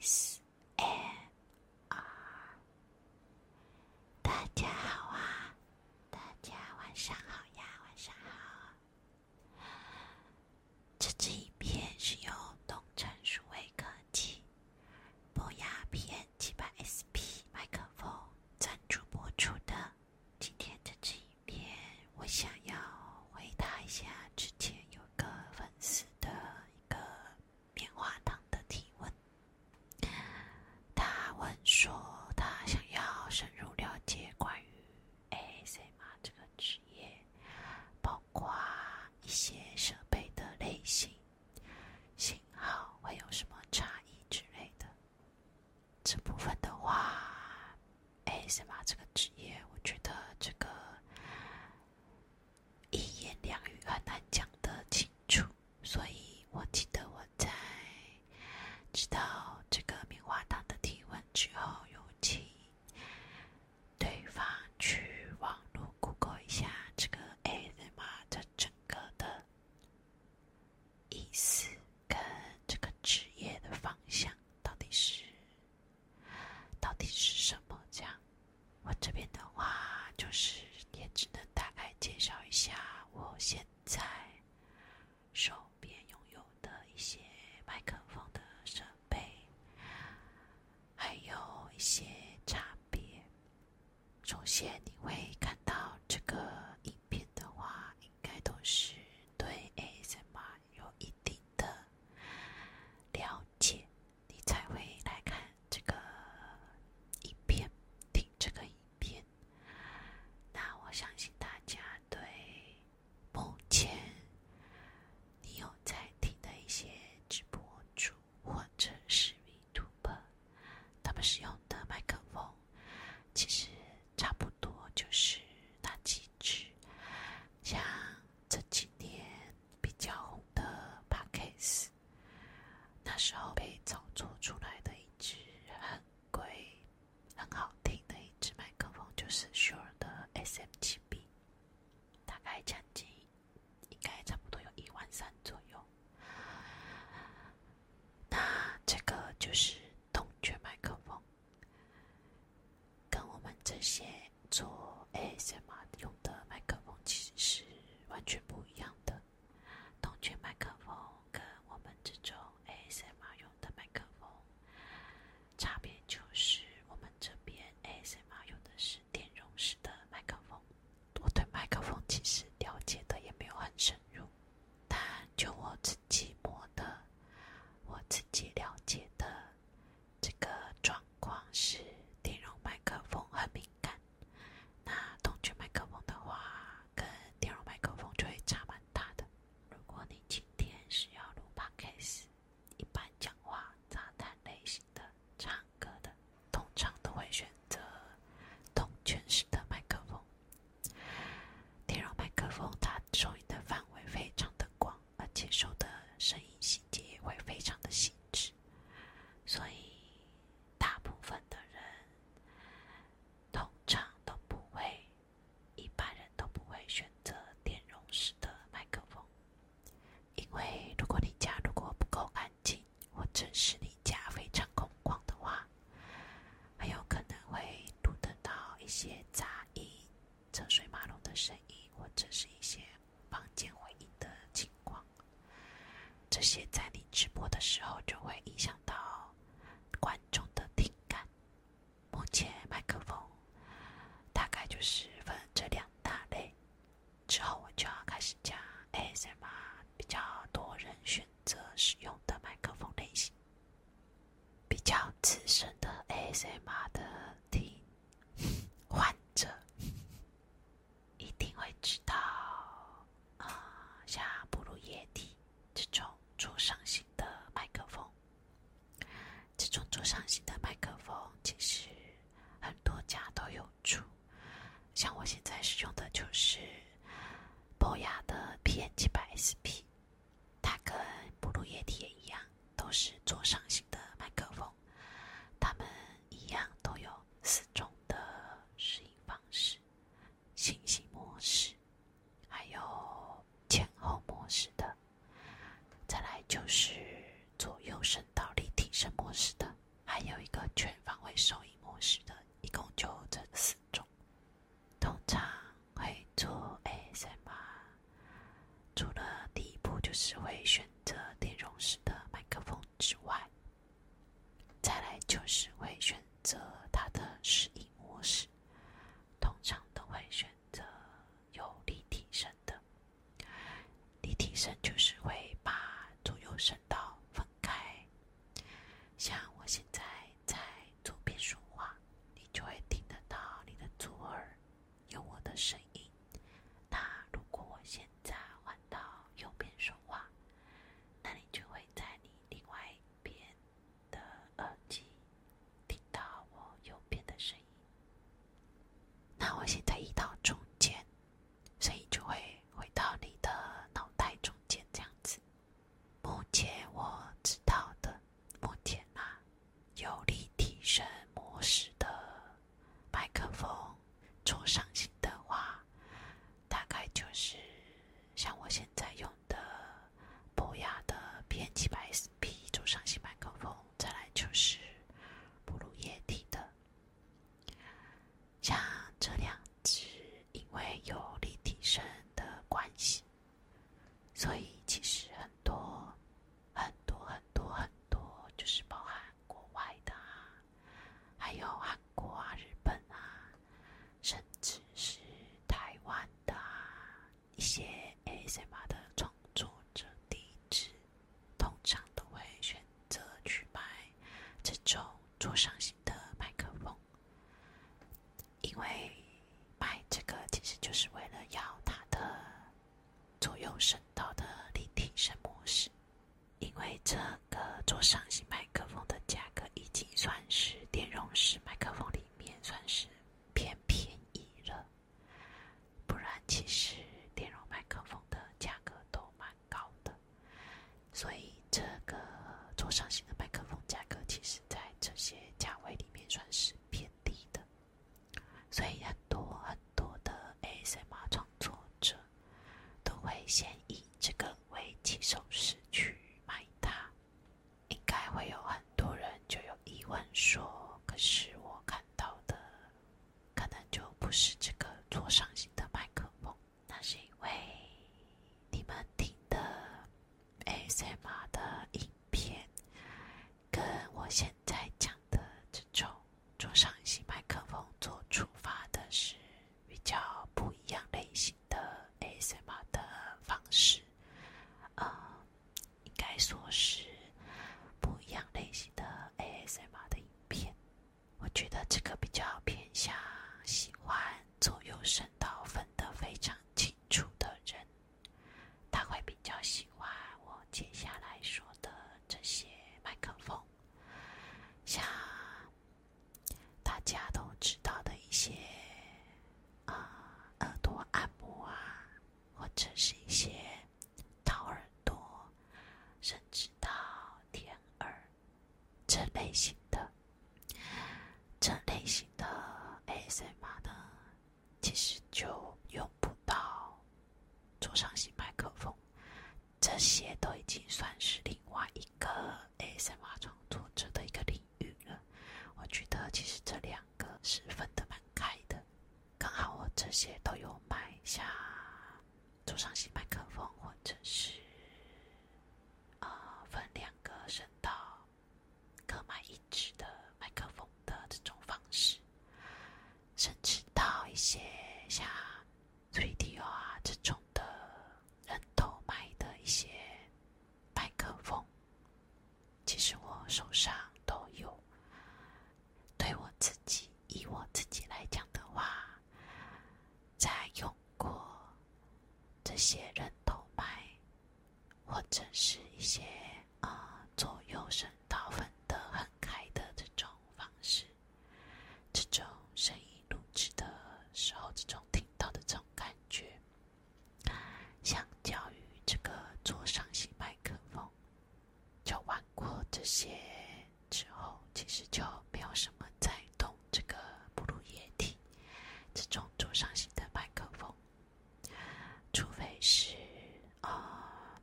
S M R，大家好啊！大家晚上好呀，晚上好。这支影片是由东城数位科技博雅 P N 七百 S P 麦克风赞助播出的。今天的这一篇，我想要回答一下之前有。一个粉丝的一个棉花糖的提问，他问说他想要深入了解关于 AAC 嘛这个职业，包括一些设备的类型、型号会有什么差异之类的。这部分的话。哎，神马这个职业，我觉得这个一言两语很难讲得清楚，所以我记得我在知道这个棉花糖的提问之后，有请对方去网络 Google 一下这个 a s 神马的整个的意思跟这个职业的方向到底是。到底是什么？这样，我这边的话就是也只能大概介绍一下我现在手边拥有的一些麦克风的设备，还有一些差别。首先，你会看到这个影片的话，应该都是对 ASMR。有一定的了解，你才会来看这个影片，听这个影片。那我相信大家对目前你有在听的一些直播主或者视频 t u b e 他们使用的麦克风，其实差不多就是那几。只像这几年比较红的 Parks，那时候被炒作出来的一支很贵、很好听的一支麦克风，就是 Shure 的 SM7B，大概将近应该差不多有一万三左右。那这个就是动圈麦克风。跟我们这些做 ASMR 用的麦克风其实是完全不一样的。同圈麦克风跟我们这种 ASMR 用的麦克风差别就是，我们这边 ASMR 用的是电容式的麦克风。我对麦克风其实了解的也没有很深入，但就我自己摸的，我自己了解的。这个状况是电容麦克风很敏感，那同圈麦克风的话，跟电容麦克风就会差蛮大的。如果你今天是要录 podcast，一般讲话、杂谈类型的、唱歌的，通常都会选择动圈式的麦克风。电容麦克风它收音的范围非常的广。而且收的声音细节也会非常的细致，所以大部分的人通常都不会，一般人都不会选择电容式的麦克风，因为如果你家如果不够安静，或者是你家非常空旷的话，很有可能会录得到一些杂音。车水马龙的声音，或者是一些房间回音的情况，这些在你直播的时候就会影响到观众的听感。目前麦克风大概就是分这两大类，之后我就要开始讲 A S M 比较多人选择使用的麦克风类型。比较资深的 ASMR 的听患者，一定会知道啊，像哺乳液体这种灼上型的麦克风，这种灼上型的麦克风其实很多家都有出，像我现在使用的就是博雅的 PN70SP。它跟哺乳液体也一样，都是座上型的麦克风。它们一样都有四种的适应方式：信息模式，还有前后模式的；再来就是左右声道立体声模式的，还有一个全方位收音模式的。一共就这四种。通常会做 A s m r 除了第一步就是会选择电容式的麦克风之外，再来就是会选择它的适应模式，通常都会选择有立体声的，立体声就是会把左右声道分开，像我现在。在左边说话，你就会听得到你的左耳有我的声音。那如果我现在换到右边说话，那你就会在你另外一边的耳机听到我右边的声音。那我现在移到中间，声音就会回到你的脑袋中间这样子。目前我知道的，目前啊，有力提升模式的麦克风，左上型的话，大概就是像我现在用的博雅的 P 七百 SP 左上型麦克风，再来就是哺乳液体的，像这两只，因为有力提升的关系。所以，其实很多、很多、很多、很多，就是包含国外的，还有韩国啊、日本啊，甚至是台湾的啊，一些 A C M 的创作者地址，通常都会选择去买这种桌上型的麦克风。因为买这个其实就是为了要它的左右声道的立体声模式，因为这个做上型麦克风的价格已经算是电容式麦克风里面算是偏便宜了，不然其实电容麦克风的价格都蛮高的。所以，这个左上型的麦克风价格，其实，在这些价位里面算是偏低的。所以，很多很多的 ASMR 创作者都会先以这个为起手式去买它。应该会有很多人就有疑问说：“可是我看到的，可能就不是这个左上型的麦克风。”那是因为你们听的 ASMR 的影片，跟我现在讲的这种桌上型麦克风做触发的是比较不一样类型的 ASMR 的方式，呃，应该说是不一样类型的 ASMR 的影片，我觉得这个比较偏向喜欢。左右声道分的非常清楚的人，他会比较喜欢我接下来说的这些麦克风，像大家都知道的一些啊耳朵按摩啊，或者是一些掏耳朵、甚至到舔耳。这类型的，这类型的 A S M r 呢，其实就用不到，桌上型麦克风，这些都已经算是另外一个 A S M r 创作者的一个领域了。我觉得其实这两个是分的蛮开的，刚好我这些都有买下桌上型麦克风，或者是。啊，分两个声道，各买一支的麦克风的这种方式，甚至到一些像 3D o 啊这种的人头麦的一些麦克风，其实我手上都有。对我自己以我自己来讲的话，在用。过这些人头牌，或者是一些啊左右声道分得很开的这种方式，这种声音录制的时候，这种听到的这种感觉，相较于这个左上型麦克风，就玩过这些。之后其实就没有什么在动这个哺乳液体，这种桌上型的麦克风，除非是啊，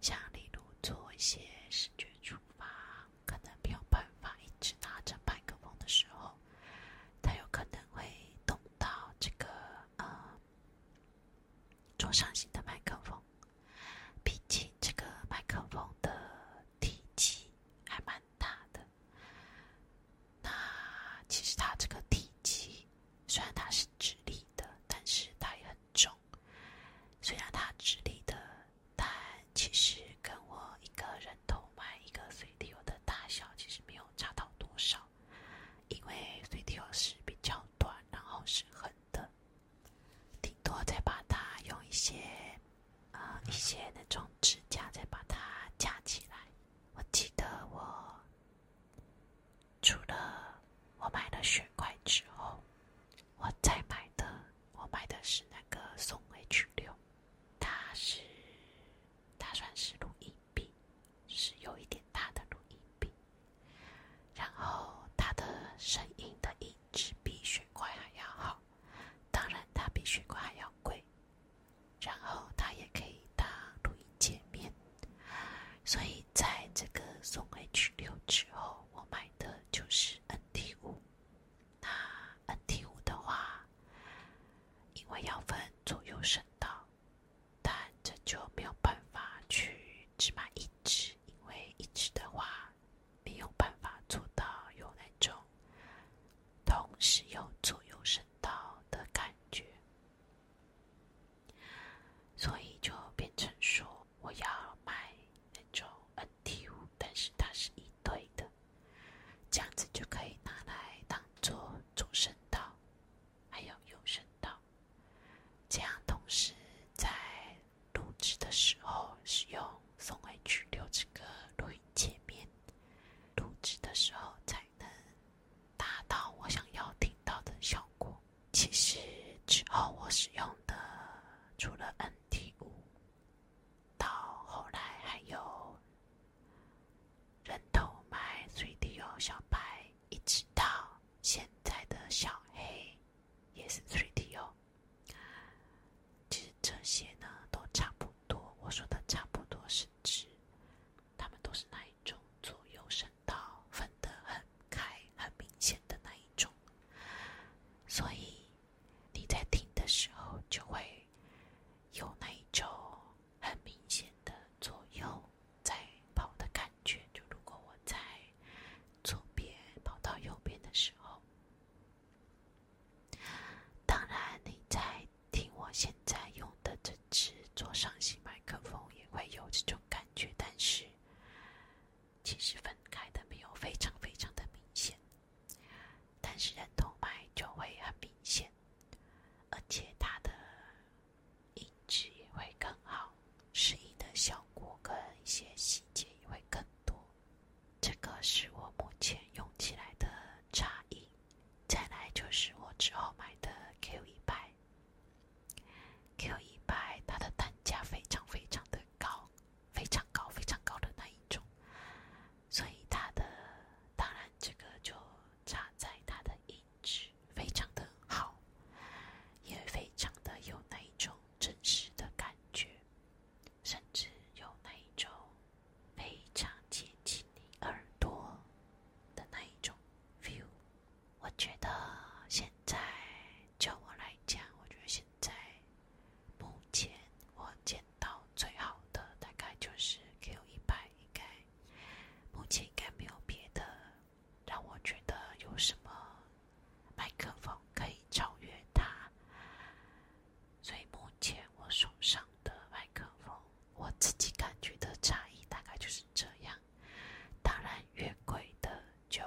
像例如做一些视觉触发，可能没有办法一直拿着麦克风的时候，它有可能会动到这个呃桌上型的麦克风，毕竟这个麦克风的。体积还蛮大的，那其实它这个体积，虽然它是直立的，但是它也很重。虽然它直立的，但其实跟我一个人头买一个随地球的大小其实没有差到多少，因为随地球是比较短，然后是横的。顶多再把它用一些，呃，一些那种支架再把它架起来。我记得我除了我买了雪块之后，我再买的我买的是那个松 H 六，它是它算是录音笔，是有一点大的录音笔，然后它的声音的音质比雪块还要好。当然，它比水管还要贵，然后它也可以当录音界面，所以在这个送 H 六之后，我买的就是 N T 五。那 N T 五的话，因为要分左右声道，但这就没有办法去只买一只，因为一只的话。没有办法做到有那种同时有左右声道的感觉，所以就变成说我要买那种 NT 五，但是它是一对的，这样子就可以拿来当做左声道，还有右声道，这样同时在。录制的时候使用松 H 留这个录音界面，录制的时候才能达到我想要听到的效果。其实之后我使用的除了 N T 五，到后来还有人头麦、三 D O 小白，一直到现在的小黑也是三 D O。其实这些呢都差不多。我说的差不多是指，他们都是那一种左右声道分得很开、很明显的那一种，所以你在听的时候就会有那一种很明显的左右在跑的感觉。就如果我在。左边跑到右边的时候，当然你在听我现在用的这支左上型麦克风也会有这种感觉，但是其实分开的没有非常非常的明显，但是人头麦就会很明显，而且它的音质也会更好。适应的效果跟一些细节也会更多，这个是我目前用起来的差异。再来就是我之后买的 Q 一百，Q 一百它的单价非常非常的高，非常高非常高的那一种，所以它的当然这个就差在它的音质非常的好，也非常的有那一种。真实的感觉，甚至有那一种非常接近你耳朵的那一种 view。我觉得现在，就我来讲，我觉得现在目前我见到最好的，大概就是 Q 一百，应该目前应该没有别的。让我觉得有什么麦克风可以超越它，所以目前我手上的麦克风，我自己感觉的差异大概就是这样。当然，越贵的就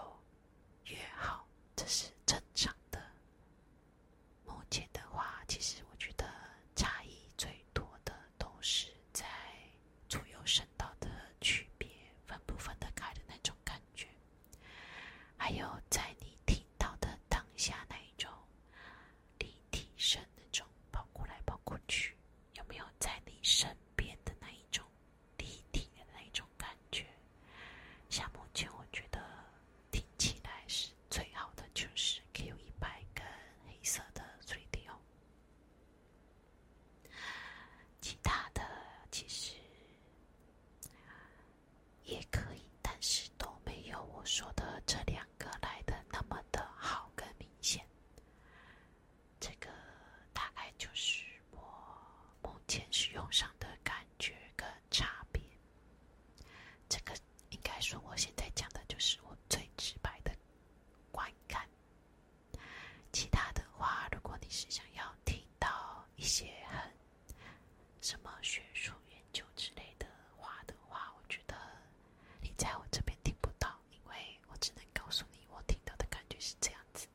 越好，这是正常的。目前的话，其实我觉得差异最多的都是在。左右声道的区别，分不分得开的那种感觉，还有在你听到的当下那一种立体声那种跑过来跑过去，有没有在你身边的那一种立体的那一种感觉？像目前我觉得听起来是最好的，就是 Q 一百跟黑色的瑞 d 哦。其他的其实也可以，但是都没有我说的这两个来的那么的好跟明显。这个大概就是我目前使用上的感觉跟差别。这个应该说我现在讲的就是我最直白的观感。其他的话，如果你是想要听到一些很什么学术研究之类的话的话，我觉得你在我这边听不到，因为我只能告诉你我听到的感觉是这样子。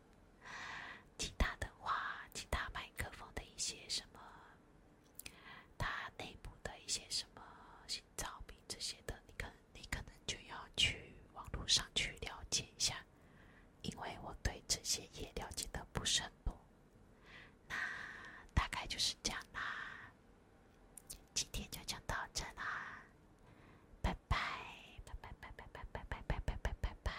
其他的话，其他麦克风的一些什么，它内部的一些什么心脏病这些的，你可能。你可能就要去网络上去了解一下，因为我对这些也了解的不是很多。那大概就是这样啦，今天就讲到这啦，拜拜拜拜拜拜拜拜拜拜拜拜。